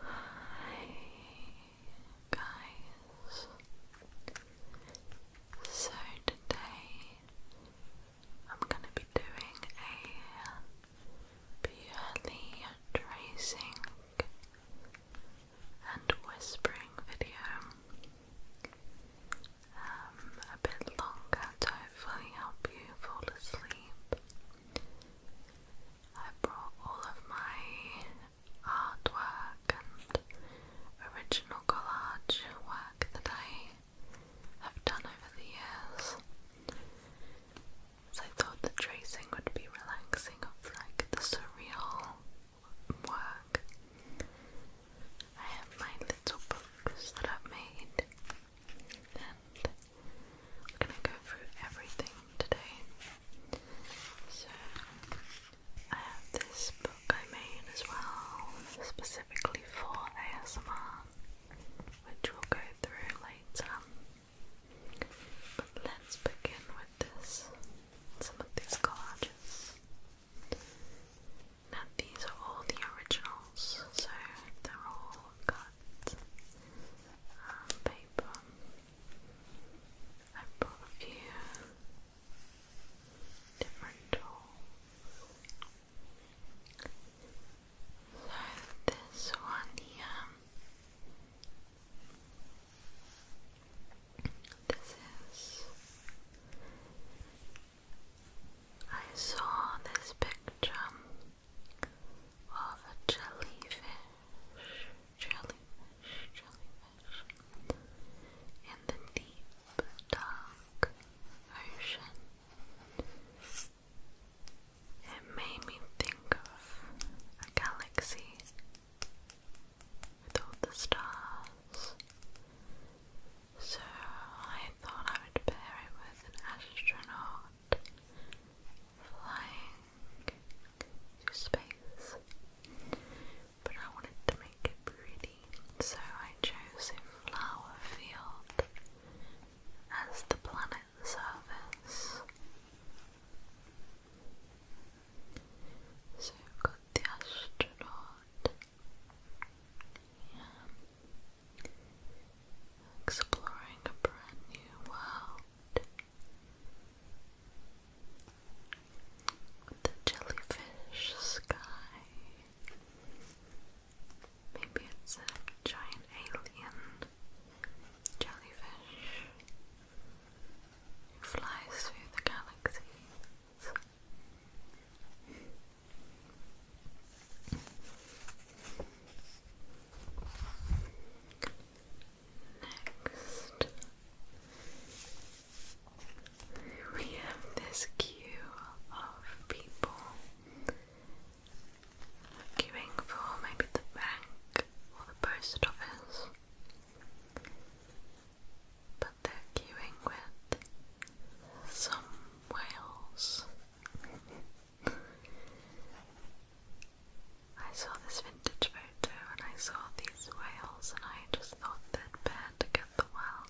Hi guys. So today I'm going to be doing a purely tracing and whispering video. Um, a bit longer to hopefully help you fall asleep. I brought all of my artwork and original collage work that I have done over the years. So I thought the tracing would be relaxing of like the surreal work. I have my little books that I've made I'm gonna go through everything today. So I have this book I made as well, specifically for ASMR, which we'll go through later. But let's begin with this. Some of these collages. Now these are all the originals, so they're all cut um, paper. I brought a few different tools. So this one here, this is. I saw this picture of a jellyfish, jellyfish, jellyfish in the deep, dark ocean. It made me think of a galaxy with all the stars. So I thought I would pair it with an astronaut flying through space, but I wanted to make it pretty, so I chose a flower field as the planet's surface. So we've got the astronaut. Exploring a brand new world the jellyfish sky. Maybe it's a giant alien jellyfish who flies through the galaxies. Next, we have this queue of people queuing for maybe the bank or the post office, but they're queuing with some whales. I saw this vintage photo and I saw these whales and I just thought they'd get the well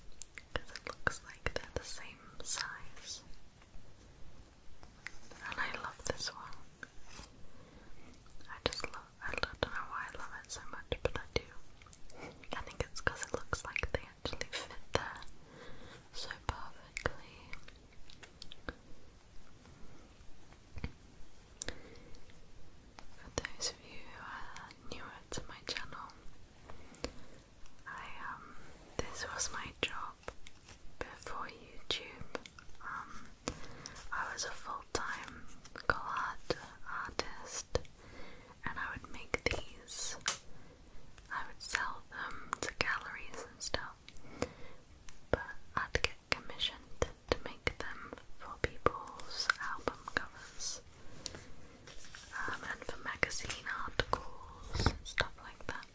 because it looks like they're the same size. And I love this one. I just love I don't know why I love it so much, but I do. I think it's because it looks like they actually fit there so perfectly. For those of you who are newer to my channel, I um this was my job before YouTube. Um I was a full-time collage artist and I would make these. I would sell them to galleries and stuff but I'd get commissioned to make them for people's album covers um, and for magazine articles stuff like that.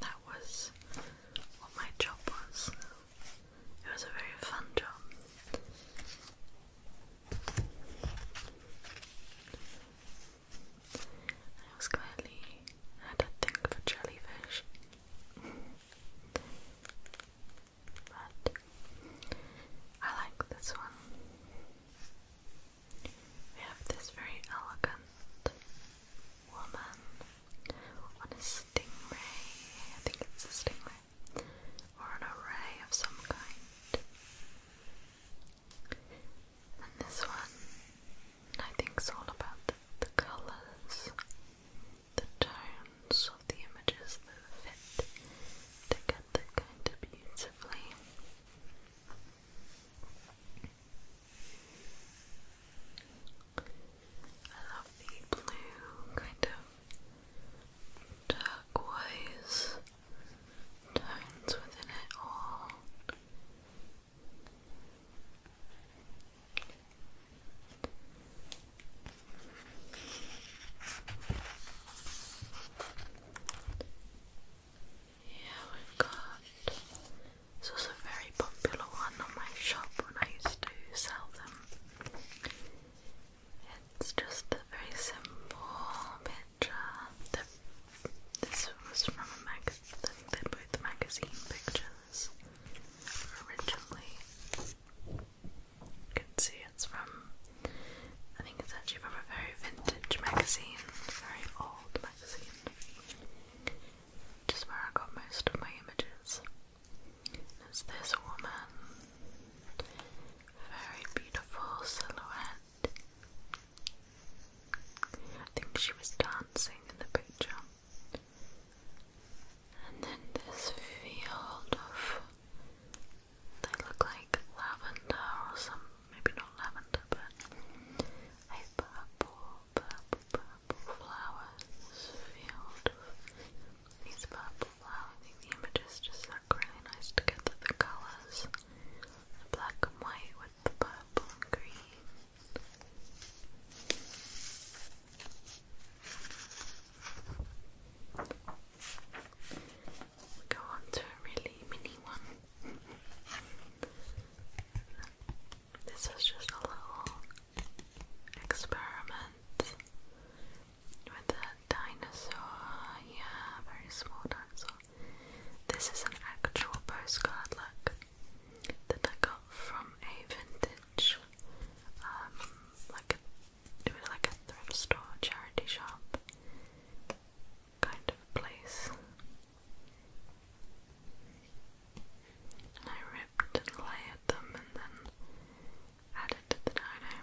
That was what my job was. It was a very fun job. I was clearly had a thing for jellyfish but I like this one. We have this very elegant woman on a stingray. I think it's a stingray. Or an array of some kind. And this one I think it's all about the, the colours, the tones of the images that fit together kind of beautifully. I love the blue, kind of turquoise tones within it all. Yeah, we got. This was a very popular one on my shop when I used to sell them. It's just a very simple picture. this was from a magazine. picture originally. You can see it's from, I think it's actually from a very vintage magazine, very old magazine, just where I got most of my images. it's this woman, very beautiful silhouette. I think she was dancing in the picture. And then this field of they look like lavender or some maybe not lavender but purple, purple, purple flowers field of these purple flowers. I images just look really nice together, the colours. The black and white with the purple and green go on to a really mini one. this is just a little experiment with a dinosaur. Yeah, very small dinosaur. This is an actual postcard, look that I got from a vintage, um, like it was like a thrift store, charity shop kind of place. And I ripped and layered them and then added the dino.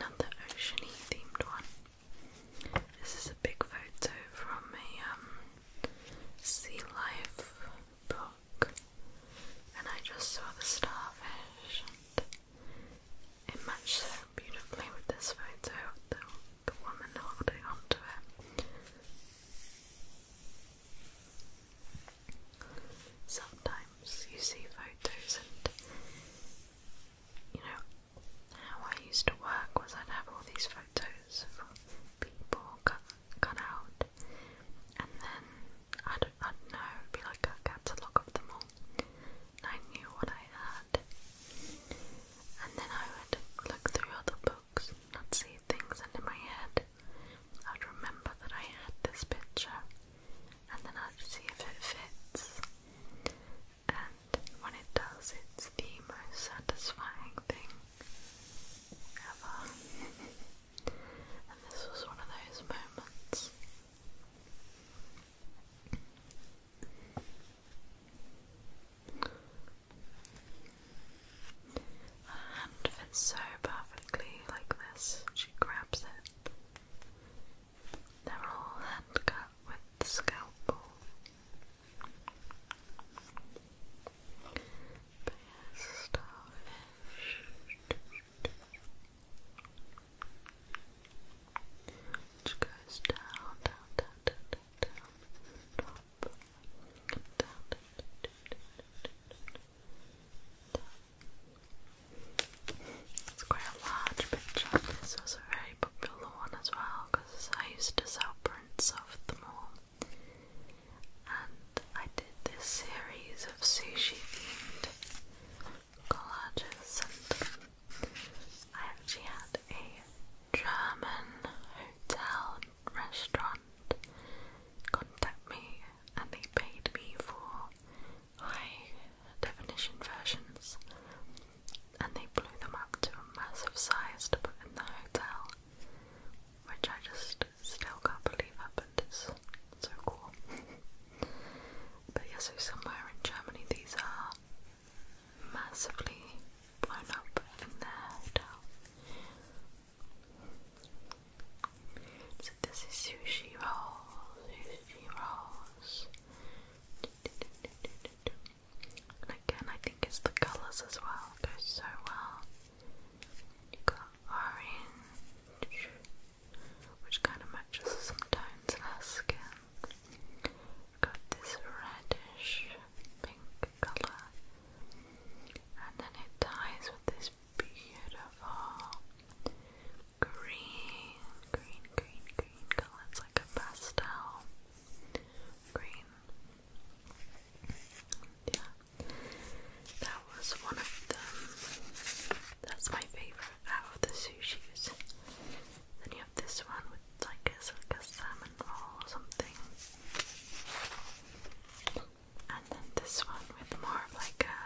Another oceany themed one. This is a big photo from a um, sea life book, and I just saw the starfish. it matched beautifully with this photo the woman holding onto it. Sometimes you see photos and you know, how I used to work was I'd have all these photos of people cut, cut out, and then I'd, I'd know, it'd be like a catalogue of them all, I knew what I had. And then I would look through other books and I'd see things, and in my head, I'd remember that I had this picture, and then I'd see if it fits and when it does, it's the most satisfying thing ever. and this was one of those moments. Her hand fits so perfectly like this, she grabs it. They're all handcuffed with the scalpel. But goes down, down, down, down, down, down, top, down, down, down, down, down, down, it's quite a large picture. This was a very popular one as well because I used to sell prints of them all. And I did this series of sushi themed collages, and I actually had a German hotel restaurant contact me, and they paid me for high definition versions and they blew them up to a massive size to put in the hotel, which I just still can't believe happened. It's so cool. but yeah, so somewhere in Germany these are massively blown up in their hotel. So this is sushi rolls, sushi rolls, and again, I think it's the colours as well, it so well. You've got orange, which kind of matches some tones in her skin. You've got this reddish pink colour, and then it ties with this beautiful green, green, green, green color. It's like a pastel green. Yeah, that was one of them. That's my favorite out of the sushis. Then you have this one with like a, like salmon roll or something. And then this one with more like a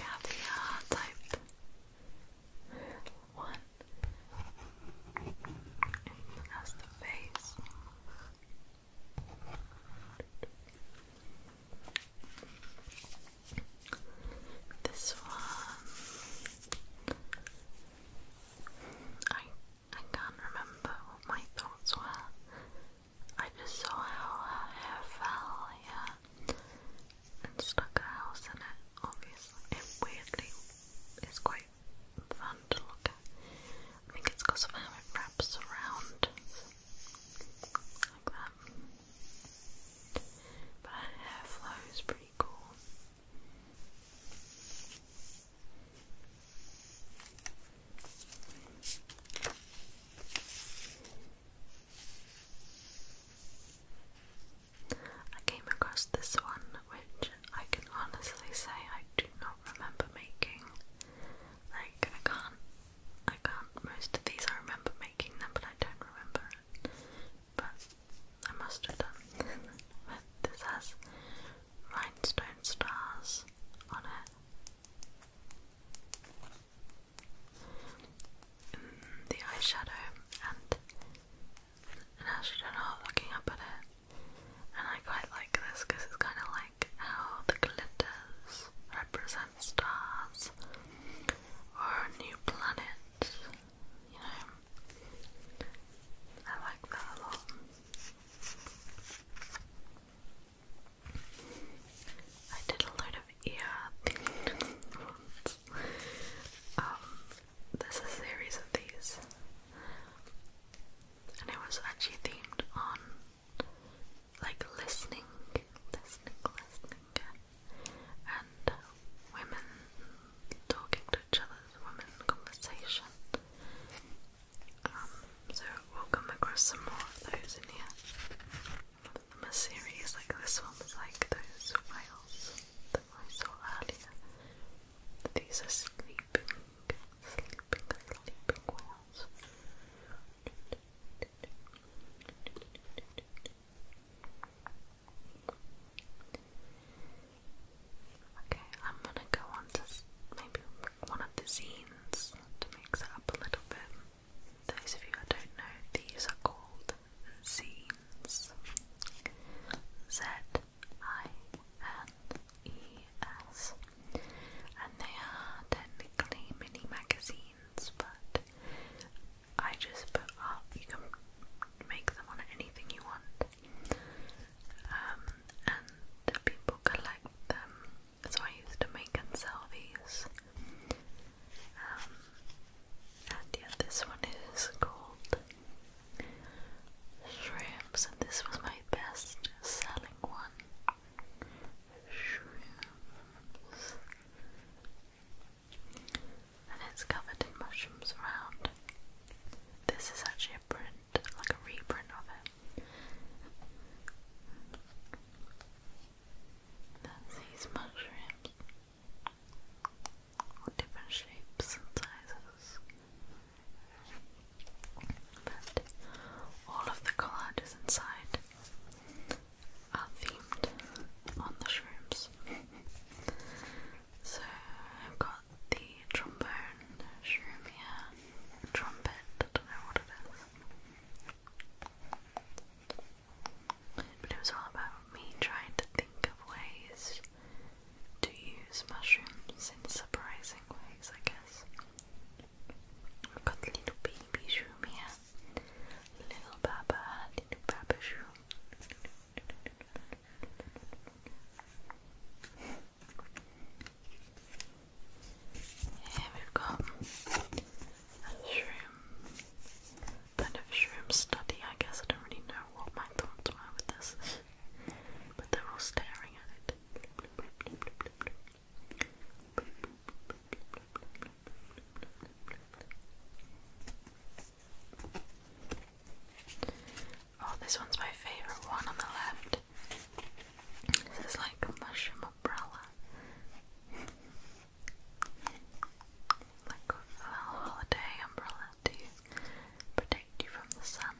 caviar type one. Anything The face. This one. I I can't remember what my thoughts were. I just saw how hair fell, yeah and stuck a house in it, obviously. It weirdly is quite fun to look at. I think it's of how it wraps around like that. But her hair flow is pretty cool. I came across this one, which I can honestly say I do not remember making. Like I can't, I can't. Most of these I remember making them, but I don't remember But I must have done. but this rhinestone stars on it the eyeshadow and an astronaut looking up at it. And I quite like this because it's kind of like how the glitters represent stars or a new planet, you know. I like that a lot. I did a load of ear ones. Um, there's a series of these, and it was actually themed on like listening, listening, listening, and women talking to each other's women conversation. Um, so we'll come across some more of those in here from a like this one, like those whales that I saw earlier. These are sleeping, sleeping, sleeping whales. Okay, I'm gonna go on to maybe one of the zines to mix it up a little bit. Those of you who don't know, these are called Zines. Z I N E S. And they are technically mini magazines, but I just put up, you can make them on anything you want. Um, and people collect them. So I used to make and sell these. Um, and yeah, this one is called Shrimps, and this was my best selling one. Shrimps. And it's covered in mushrooms around. This is actually a print, like a reprint of it. That's these mushrooms different shapes and sizes. But all of the collages inside are themed on the shrooms. so I've got the trombone shroom here, trumpet, I don't know what it is. But it was all about me trying to think of ways to use mushrooms in surprising ways, I guess. We've got the little baby shroom here. Little Baba, little Baba shroom. Here we've got and shroom kind of shroom study, I guess. I don't really know what my thoughts were with this. but they're all staring at it. Oh, this one's my favourite one on the left. This is like a mushroom umbrella. Like a holiday umbrella to protect you from the sun.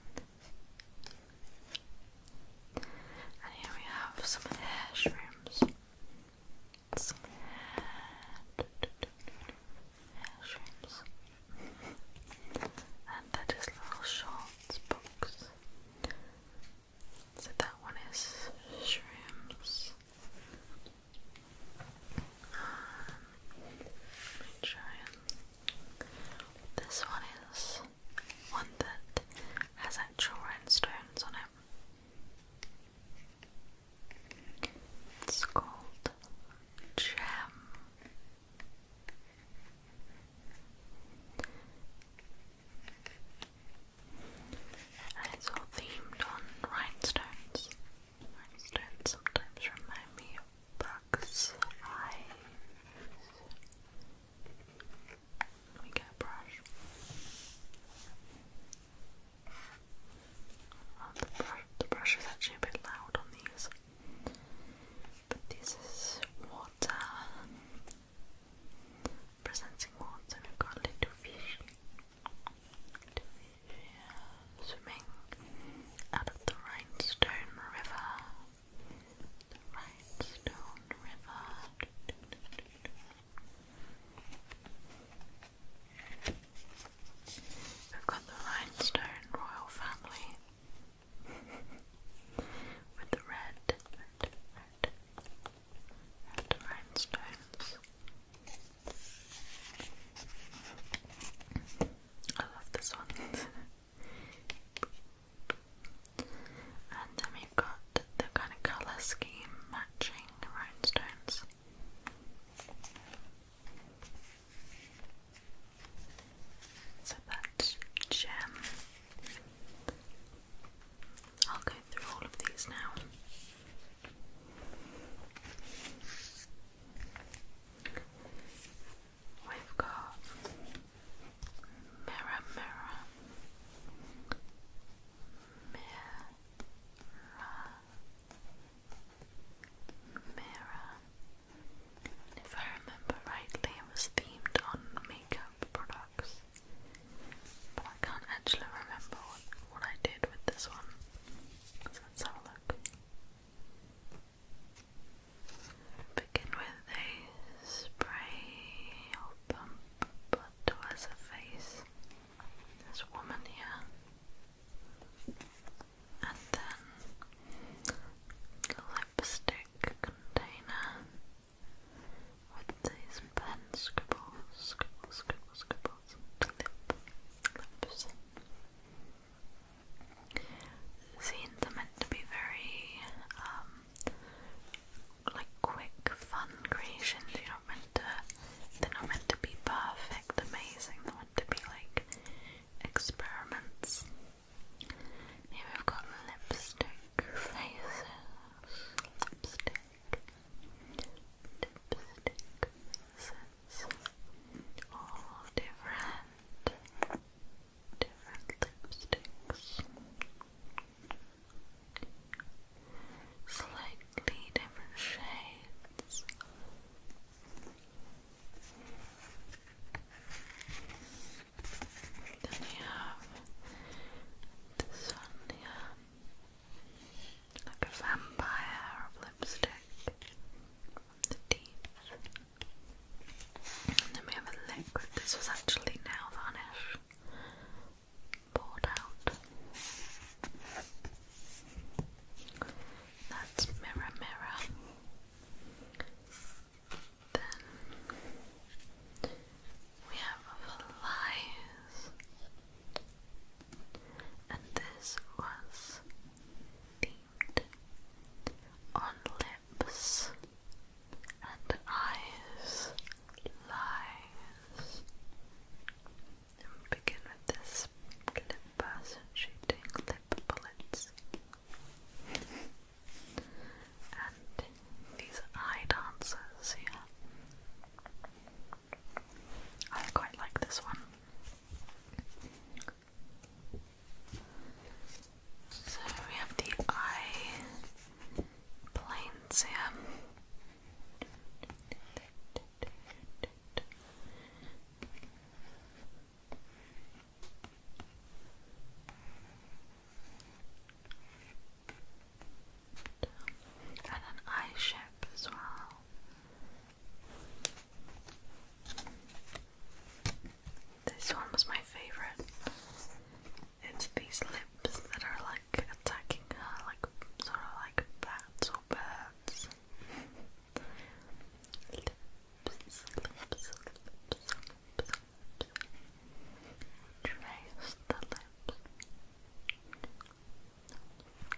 And here we have some of the hair Some hair, and that is little shorts box. So that one is shrooms. This one is one that has actual rhinestones on it. It's called Gem. And it's all themed on rhinestones. Limestones sometimes remind me of bugs' eyes. Let me get a brush. Oh, the, brush the brush is actually a bit loud on these. But this is water. Presenting water, we've got little fish swimming out of the Rhinestone River. The Rhinestone River. We've got the Rhinestone Royal Family with the red, red, red, red rhinestones. I love this one. and then we've got the kind of colour scheme matching rhinestones. So that's gem. I'll go through all of these now. We've got mirror, mirror, mirror, mirror. If I remember rightly, it was themed on makeup products, but I can't actually remember what, what I did with this one. Let's have a look. Begin with a spray or pump blood towards the face. This woman here. And then lipstick container with these pen scribbles, scribble, scribble, scribble nipples, lips, lips. are meant to be very, um, like quick, fun creations. You're not meant to, they're not meant to be perfect, amazing. They're meant to be like experiments. Here we've got lipstick faces, lipstick diplomatic visits, all different, different lipsticks, slightly different shades. Then we have this one like a vampire lipstick from the teeth. then we have a liquid. This was actually nail varnish poured out. That's mirror, mirror. Then we have flies and this was themed on lips and eyes, lies. begin with this lip person shooting lip bullets. and these eye dancers here. I quite like this one. So we have the eye planes here and an eye shape as well. This one was my favourite. It's these lips that are like attacking her, like sort of like bats or birds. lips, lips, lips, lips, lips. Trace the lips.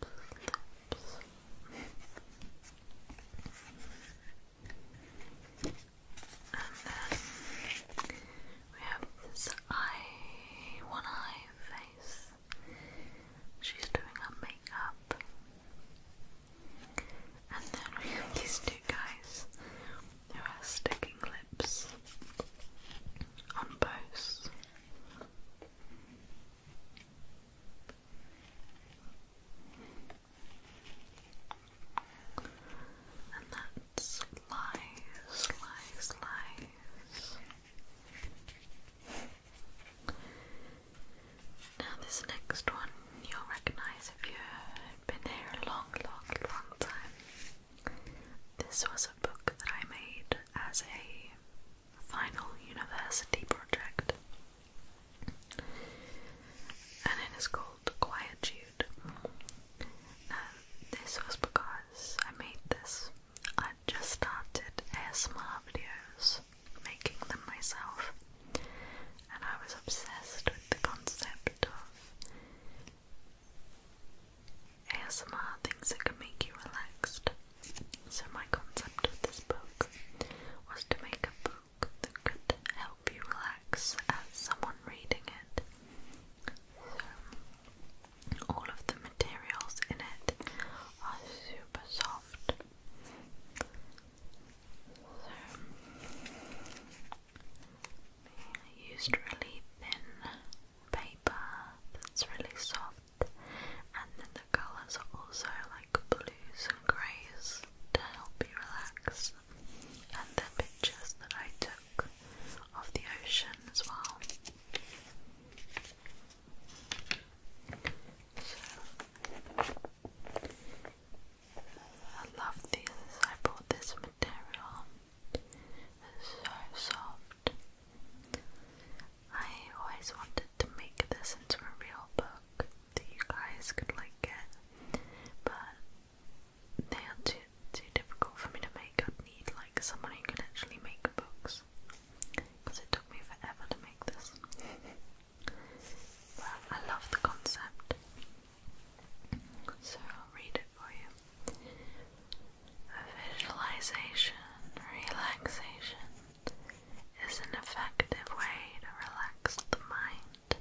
then we have this eye, one eye face. She's doing her makeup. And then we have these two guys who are sticking lips on both. And that slice, slice, slice. Now, this next one you'll recognize if you've been here a long, long, long time. This was a book that I made as a final university project, and it is called Quietude. Now, um, this was because I made this. I just started ASMR videos, making them myself, and I was obsessed with the concept of ASMR things that can make you relaxed. So, my concept of this book was to make a book that could help you relax as someone reading it. So, all of the materials in it are super soft. So, I used really thin paper that's really soft left. And then the colours are also like blues and greys to help you relax. And the pictures that I took of the ocean as well. So, I love these. I bought this material. It's so soft. I always wanted to make this into a real book that you guys could like get, but they are too too difficult for me to make. I'd need like someone who can actually make books, because it took me forever to make this. but I love the concept, so I'll read it for you. visualization, relaxation, is an effective way to relax the mind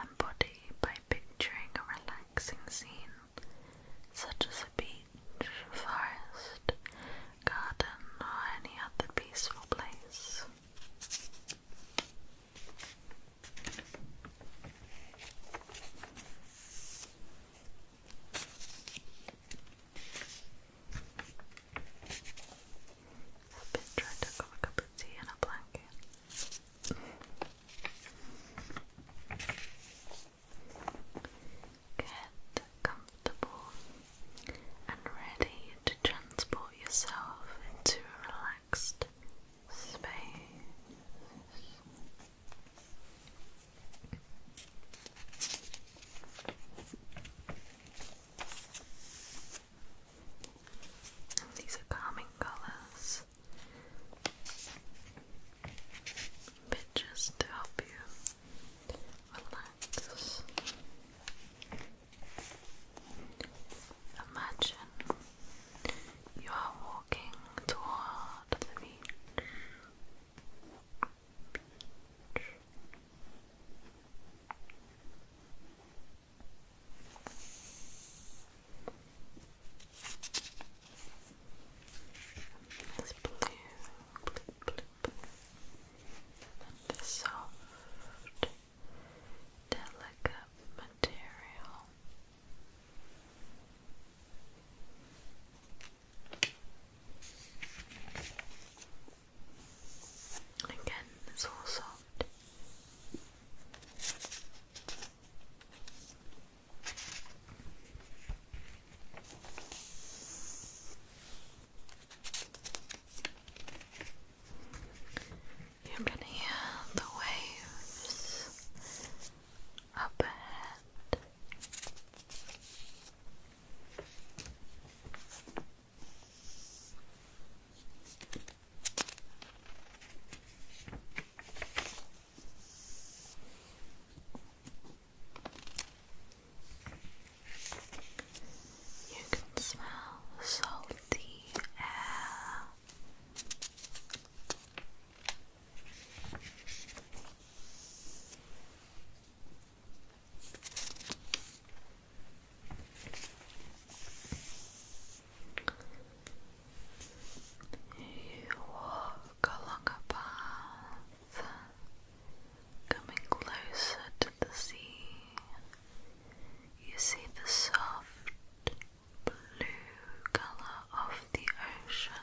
and body by picturing a relaxing scene such as a beach, forest, garden, or any other peaceful place. I've been trying to grab a cup of tea and a blanket. Get comfortable and ready to transport yourself into a relaxed space. And these are calming colors. Pictures to help you relax. Imagine you are walking toward the Beach. It's blue, And the soft, delicate material. Again, it's all soft. You can hear the waves up ahead. You can smell salty air. You walk along a path, coming closer to the sea. You see the soft blue color of the ocean.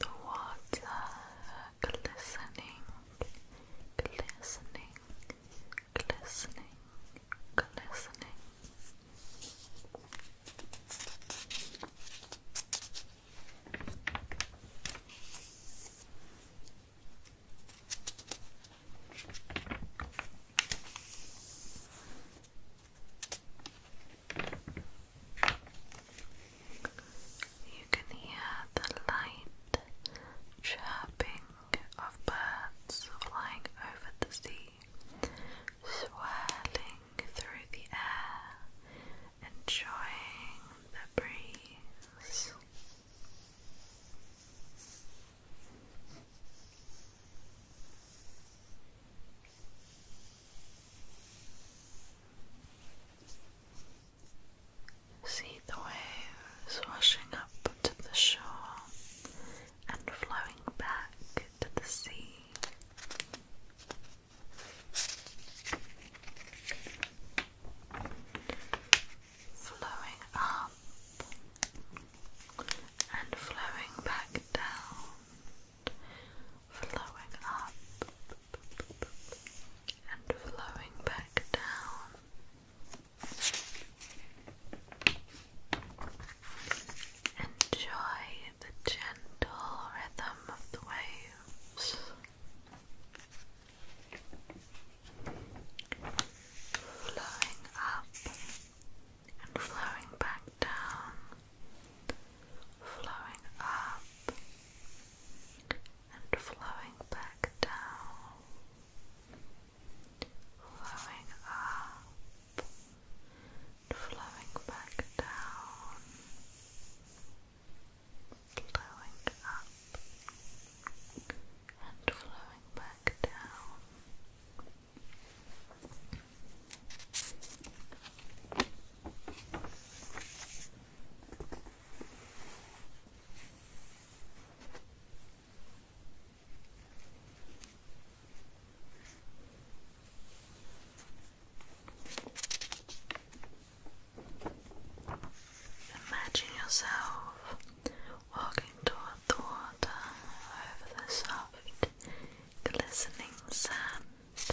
The water glistening, glistening, glistening, glistening. You can hear the light chirping of birds flying over the sea, swirling through the air, enjoying the breeze. See the waves washing up to the shore and flowing back to the sea. Flowing up and flowing back down flowing up and flowing back down. Enjoy the gentle rhythm of the waves. Flowing up and flowing back down flowing up and flowing back down, flowing up flowing back down, flowing up and flowing back down. Imagine yourself walking toward the water over the soft, glistening sand.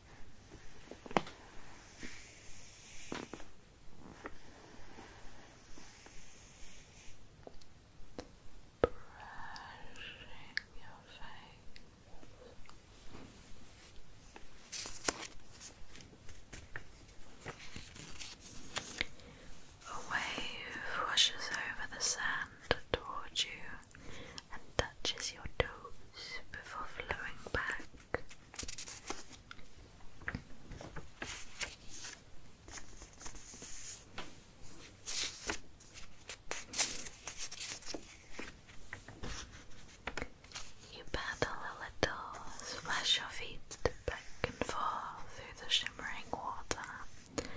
brushing your face. A wave washes over the sand towards you and touches your toes before flowing back. You paddle a little, splash your feet back and forth through the shimmering water,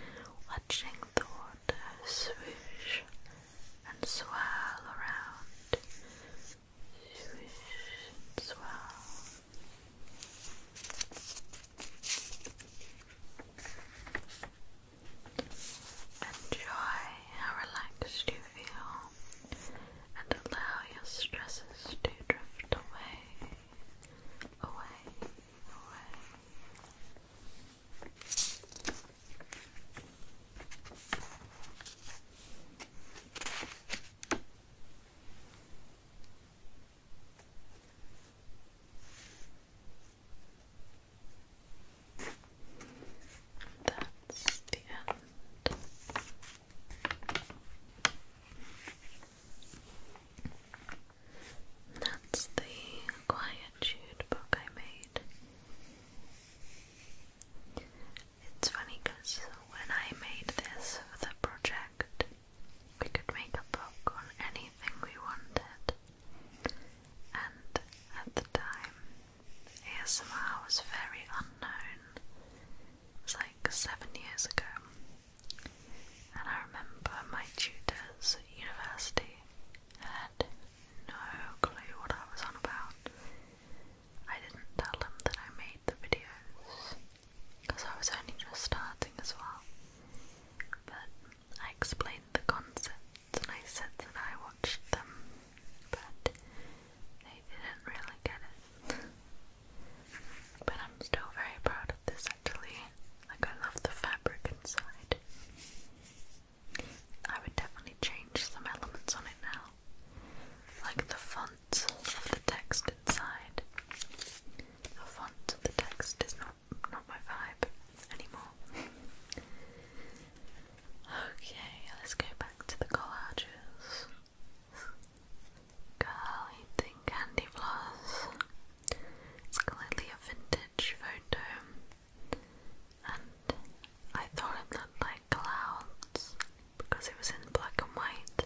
watching the water swoosh and swirl around. Swish and swirl. Enjoy how relaxed you feel and allow your stresses to drift away, away, away. That's the end. That's the Quietude book I made. It's funny because when I made this for the project, we could make a book on anything we wanted. And at the time, ASMR was very unknown. like seven years ago. And I remember my tutors university had no clue what I was on about. I didn't tell them that I made the videos because I was only just starting as well. But I explained the concepts and I said that I watched them, but they didn't really get it. but I'm still very proud of this actually. Like, I love the fabric inside. I would definitely change some elements on it now, like the font of the text inside. The font of the text is not not my vibe anymore. okay, let's go back to the collages. Girl eating candy floss. It's clearly a vintage photo, and I thought it looked like clouds because it was in black and white.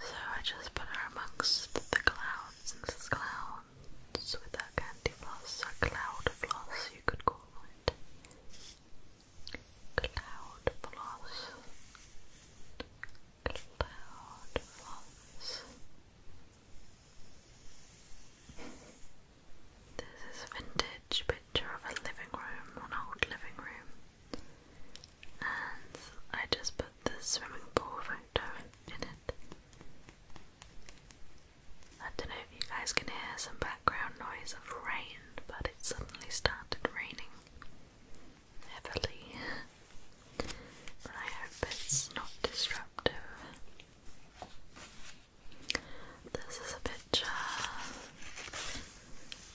So I just put her amongst the clouds, clouds with that candy floss, a cloud floss you could call it. Cloud floss. Cloud floss. This is a vintage picture of a living room, an old living room. And I just put this swimming pool photo in it. I don't know if you guys can hear some background noise of rain, but it suddenly started raining heavily. But I hope it's not disruptive. This is a picture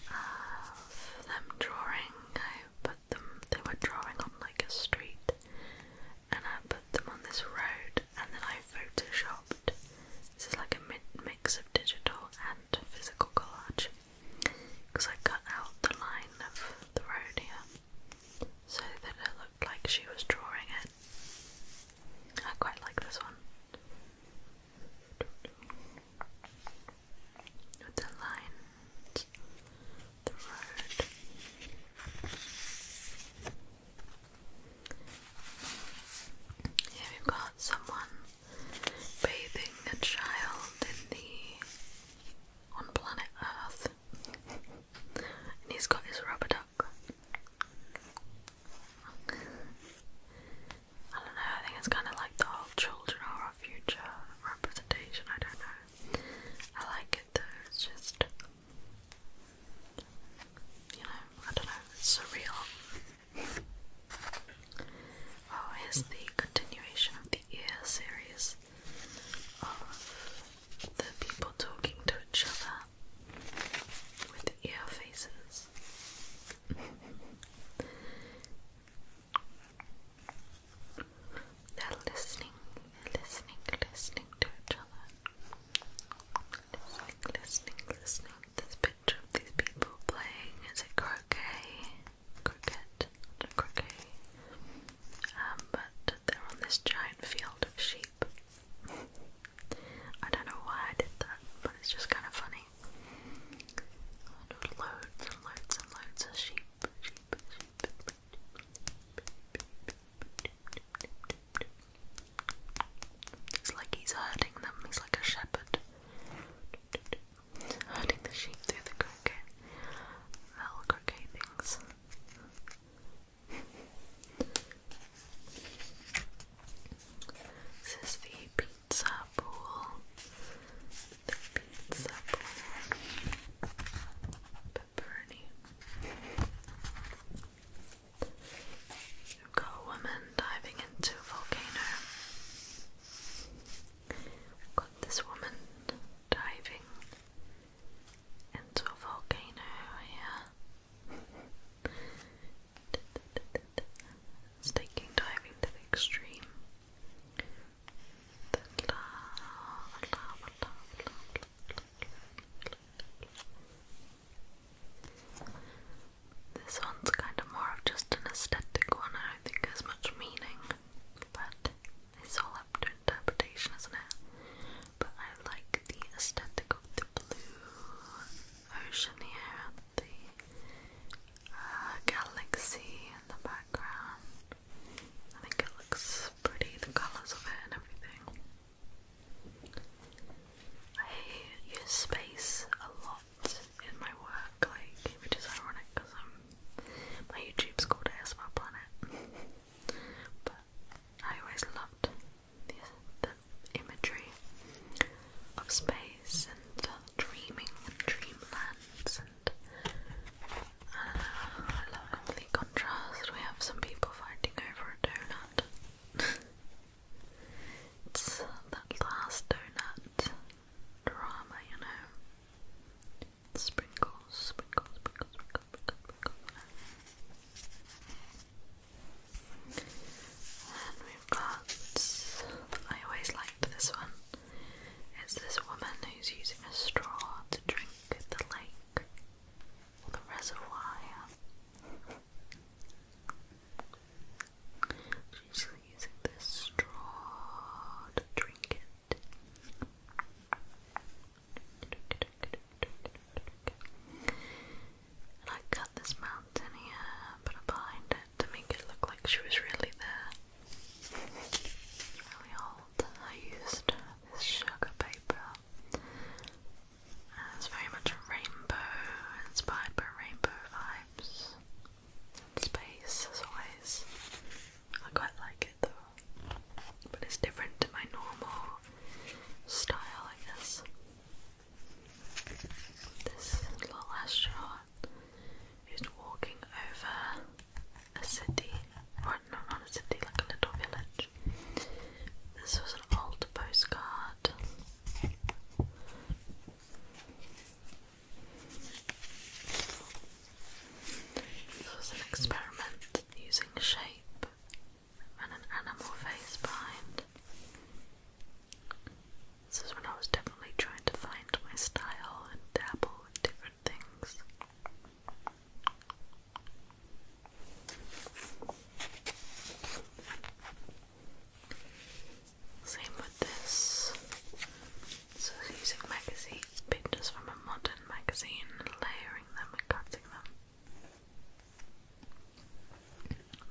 of them drawing. I put them, they were drawing on like a street, and I put them on this road, and then I photoshopped. This is like a mix of digital and physical collage because I cut out the line of the road here so that it looked like she was drawing it. I quite like this one. With the lines, the road. Here we've got someone bathing a child in the on planet Earth, and he's got his rubber duck. I don't know, I think it's kind of like the whole children are our future representation, I don't know. I like it though, it's just, you know, I don't know, it's surreal. Oh, is the continuation of the ear series of the people talking to each other with ear faces. They're listening, listening, listening to each other. Listening, listening, listening. This picture of these people playing is a croquet, cricket, croquet. Um, but they're on this giant field of sheep. I don't know why I did that, but it's just kind of funny. Loads and loads and loads of sheep. It's like he's herding them, he's like a shepherd. Herding the sheep through the croquet, metal croquet things. This is the pizza pool. The pizza pool. Pepperoni. We've got a woman diving into a volcano. We've got this woman diving into a volcano here it's diving to the extreme. This one's kind of more of just an aesthetic one. I don't think has much meaning, but it's all up to interpretation, isn't it? But I like the aesthetic of blue ocean here and the uh, galaxy in the background. I think it looks pretty, the colours of it and everything. I use space a lot in my work, like which is ironic because um, my YouTube's called ASMR Planet, but I always loved the, imagery of space and uh, dreaming and dreamlands and uh, I love complete contrast. We have some people fighting over a donut. it's uh, that last donut drama, you know. Sprinkles, sprinkles, sprinkles, sprinkles, sprinkles, sprinkles. And we've got, I always liked this one. It's this woman who's using a straw to drink the lake or the reservoir. She's using this straw to drink it. And I cut this mountain here, put a behind it to make it look like she was really there. really old. I used this sugar paper. it's very much rainbow, inspired rainbow vibes. Space, as always. I quite like it though, but it's different to my normal style, I guess. This little astronaut who's walking over a city, or no, not a city, like a little village. This was an old postcard. This was an experiment using shape and an animal face behind. This is when I was definitely trying to find my style and dabble with different things. Same with this. So using magazine pictures from a modern magazine, layering them and cutting them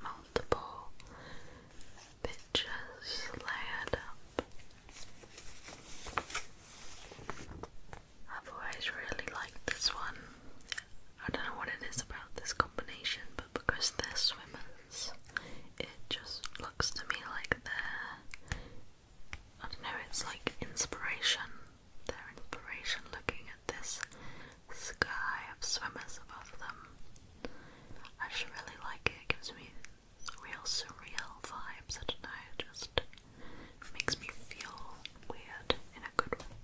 multiple pictures layered up. I've always really liked this one. I don't know what it is about this combination, but because they're swimmers, it just looks to me like they're. I don't know, it's like inspiration. they inspiration looking at this sky of swimmers above them. I just really like it, gives me real surreal vibes, I don't know, just makes me feel weird in a good way.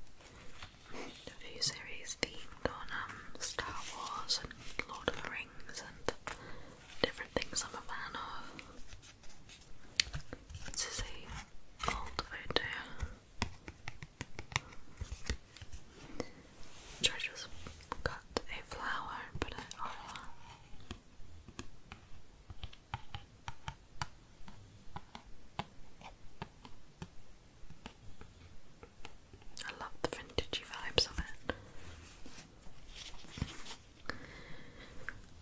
A few series themed um, Star Wars and Lord of the Rings and different things I'm a fan of. This is a old photo. George got a flower and I love the vintagey vibes of it.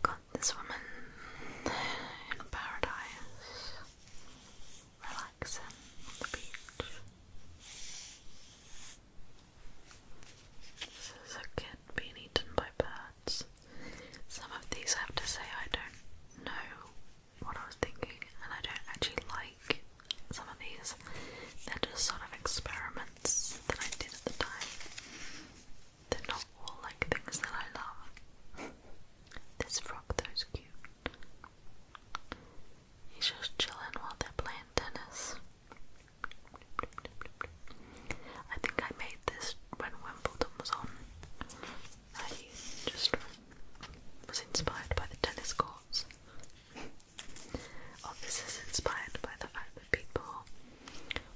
Got this woman in paradise relaxing on the beach. This is a kid being eaten by birds. Some of these I have to say I don't know what I was thinking and I don't actually like some of these. They're just sort of experiments that I did at the time. They're not all like things that I love. This frog though is cute. He's just chilling while they're playing tennis. I think I made this when Wimbledon was on. I just was inspired by the tennis courts. Or this is inspired by the fact that people,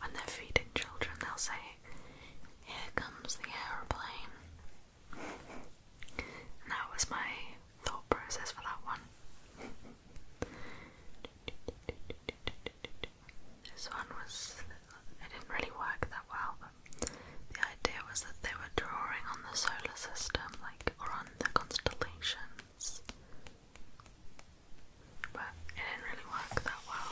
when they're feeding children, they'll say, Here comes the aeroplane that was my thought process for that one. This one was, it didn't really work that well, the idea was that they were drawing on the solar system, like, or on the constellations. But it didn't really work that well.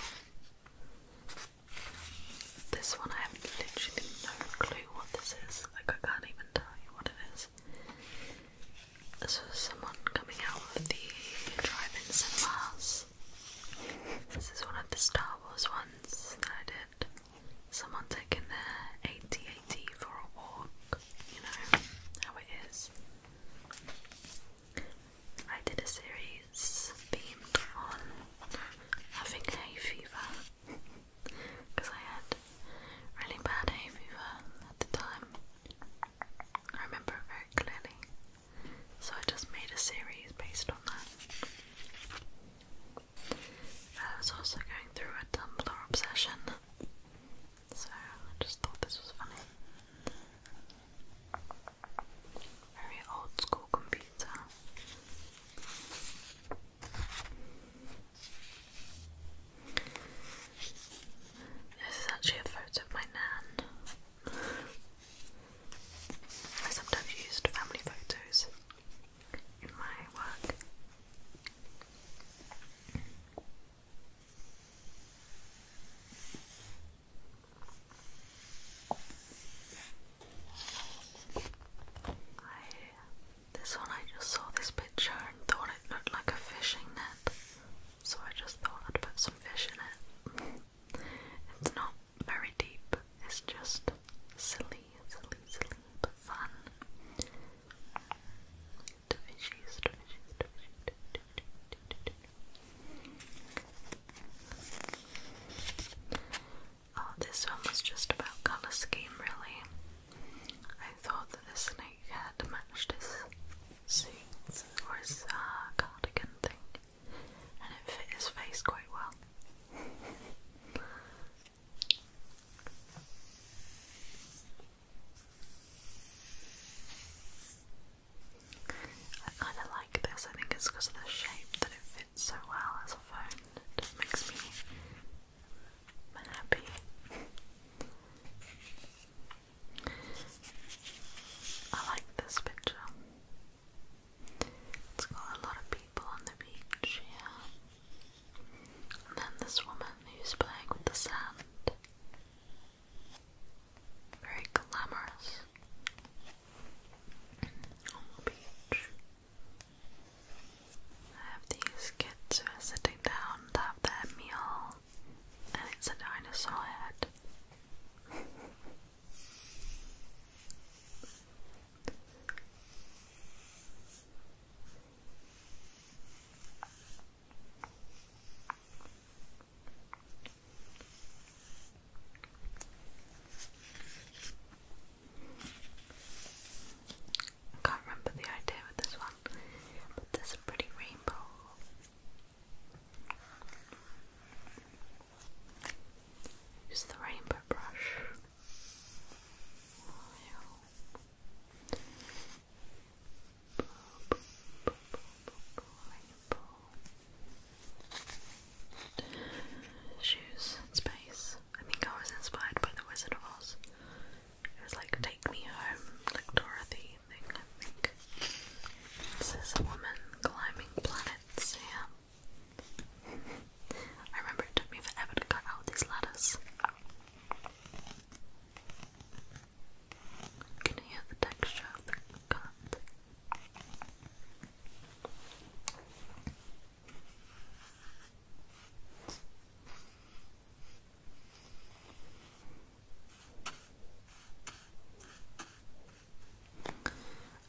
This one I have literally no clue what this is. Like I can't even tell you what it is. This was someone coming out of the drive-in cinemas. This is one of the Star Wars ones that I did. Someone taking their AT-AT for a walk. You know how it is. I did a series themed on having hay fever because I had really bad hay fever at the time. I remember it very clearly. So I just made a series based on that. I was also going through a Tumblr obsession, so I just thought this was funny. Very old school computer this is actually a photo of my nan. I sometimes used family photos in my work this one I just saw this picture and thought it looked like a fishing net, so I just thought I'd put some fish in it. it's not very deep, it's just silly, silly, silly, but fun. Oh, this one was just about colour scheme, really. I thought that this snake had matched his suits or his uh, cardigan thing, and it fit his face quite well. I kind of like this. I think it's because of the shape that it it so well as a phone. just makes me happy. I like this picture. It's got a lot of people on the beach here. And then this woman who's playing with the sand. Very glamorous on the beach. I have these kids who are sitting down to have their meal, and it's a dinosaur head. I can't remember the idea with this one, but there's pretty rainbow. Use the rainbow brush shoes in space. I think I was inspired by The Wizard of Oz. It was like Take Me Home, like Dorothy thing, I think. This is a woman climbing planets, yeah. I remember it took me forever to cut out these ladders. Can you hear the texture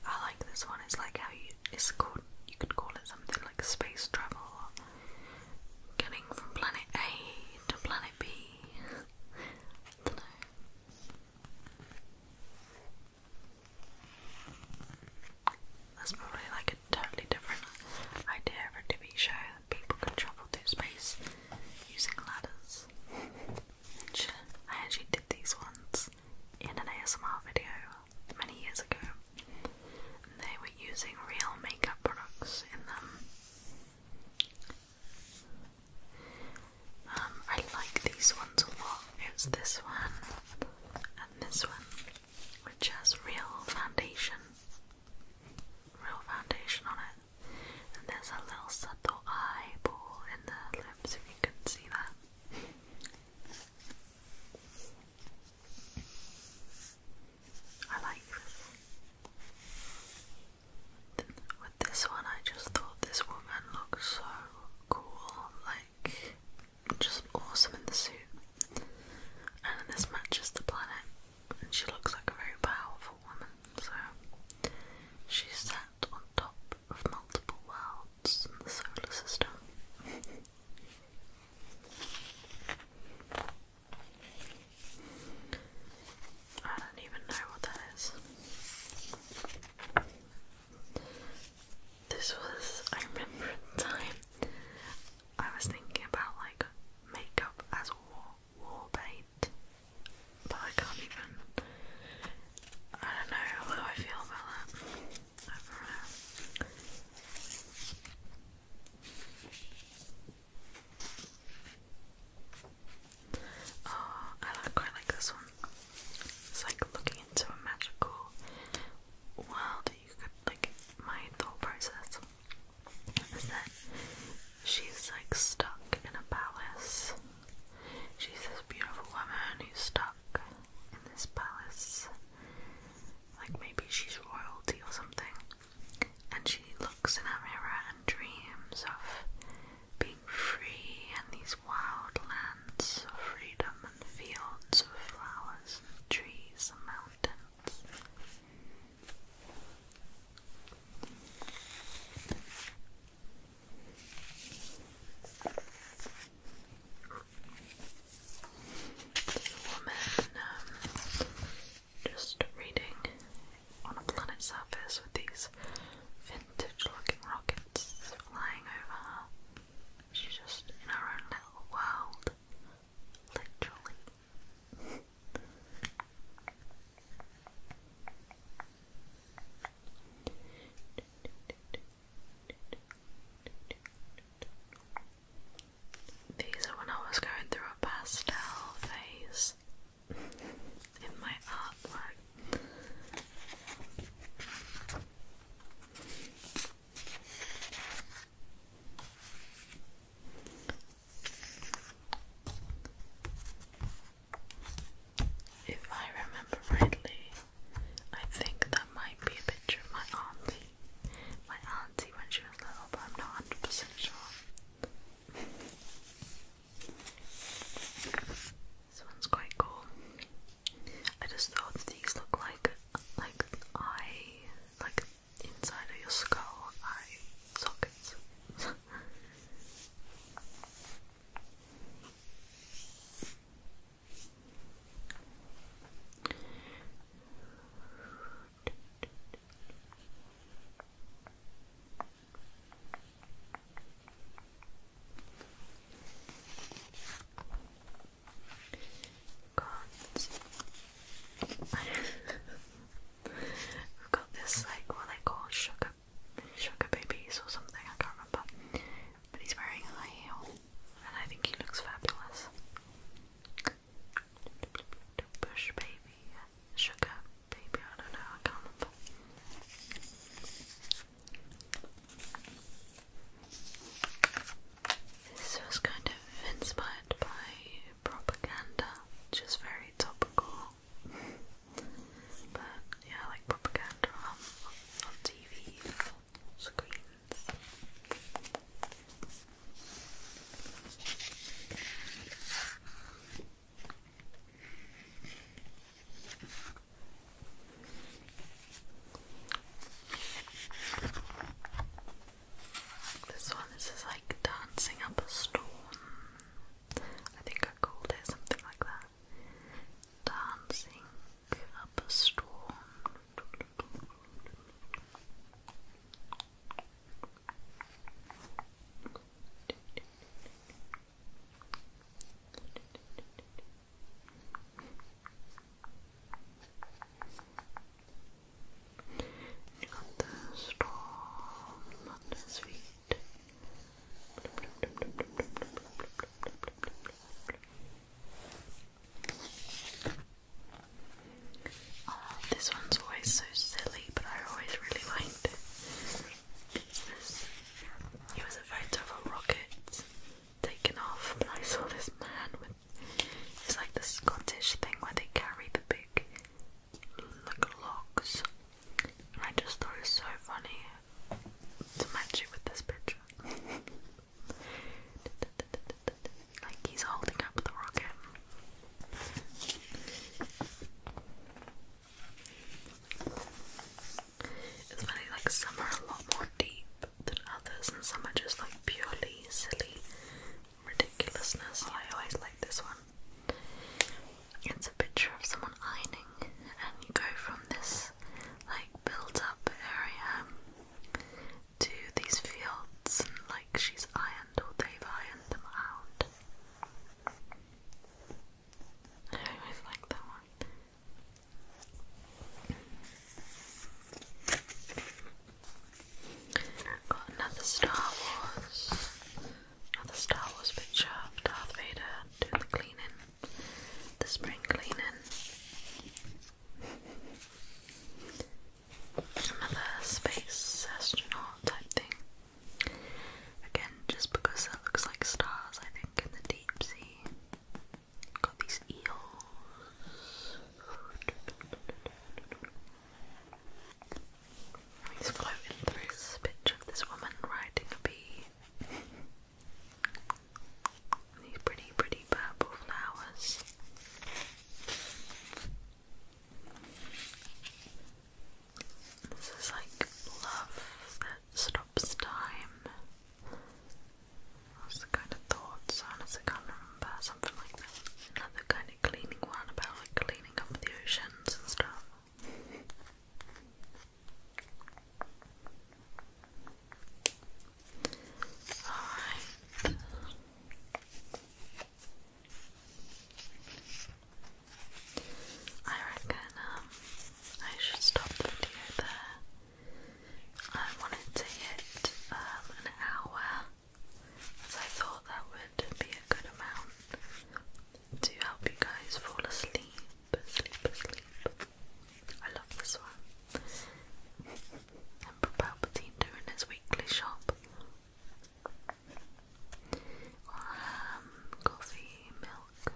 I like this one. It's like how you it's called you could call it something like space travel or getting from planet A to planet B. That's probably like a totally different idea for a TV show that people can travel through space using ladders. I actually did these ones in an ASMR video many years ago. And they were using real makeup products in them. Um, I like these ones a lot. It's this one this one, which has real foundation, real foundation on it. And there's a little subtle eyeball in the lips, if you can see that. I like this. With this one, I just thought this woman looks so cool. Like, just awesome in the suit. And this matches the planet, and she looks like a very powerful woman. So she's sat on top of multiple worlds in the solar system. I don't even know what that is. This was, I remember at time, I was thinking about like makeup as war, war bait, but I can't even, I don't know how I feel about that. I oh, I quite like this one. It's like looking into a magical wild you could like mind the process is that she's like stuck in a palace. She's this beautiful woman who's stuck in this palace. Like maybe she's royalty or something. And she looks in a mirror and dreams of being free and these Wild lands of freedom and fields of flowers and trees and mountains. This woman um, just reading on a planet surface with these vintage looking rockets flying over She's just in her own little world. Literally. These are when I was going through a pastel phase in my artwork. If I remember rightly, I think that might be a picture of my auntie. My auntie when she was little, but I'm not 100% sure. This one's quite cool. I just thought these look like like eye like inside of your skull eye sockets. Got got this like what they call sugar sugar babies or something, I can't remember. But he's wearing high heel and I think he looks fabulous. Bush baby, sugar baby, I don't know, I can't remember. This was kind of inspired by propaganda, which very topical. but yeah, like propaganda on, TV, screens. This one, this is like dancing up a storm. I think I called it something like that. Dancing up a storm. You the storm under his feet. Oh, uh, this one's always so silly, but I always really liked it. It was, it was a photo of a rocket taken off. I saw this man with it's like the Scottish thing where they carry the big like logs. And I just thought it was so funny to match it with this picture. like he's holding up the rocket. It's funny, like some are a lot more deep than others, and some are just like purely silly ridiculousness. I always like this one. It's a picture of someone ironing, and you go from this like built up area to these fields, and like she's ironed or they've ironed them out. I always like that one. Got another Star Wars, another Star Wars picture of Darth Vader doing the cleaning, the spring cleaning. Another space astronaut type thing. Again, just because that looks like stars, I think, in the deep sea. Got these eels. He's floating this picture of this woman riding a bee. These pretty, pretty purple flowers. This is like love that stops time. What was the kind of thoughts? Honestly, I can't remember. Something like that. Another kind of cleaning one about like cleaning up the oceans and stuff. Alright. I reckon um, I should stop the video there. I wanted to hit um, an hour as I thought that would be a good amount to help you guys fall asleep, sleep, sleep. I love this one. Emperor Palpatine doing his weekly shop. Um, coffee, milk,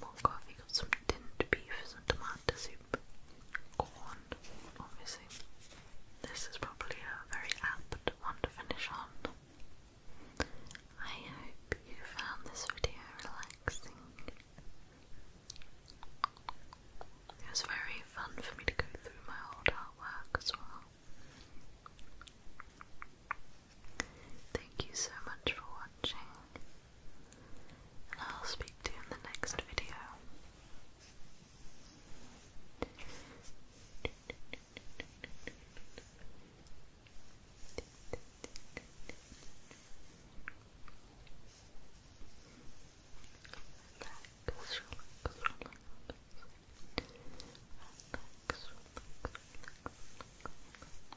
more coffee, got some tinned beef, some tomato soup, corn, obviously. This is probably a very apt one to finish on. I hope you found this video relaxing. It was very fun for me to go through my old artwork as well. Thank you so much for watching and I'll speak to you in the next video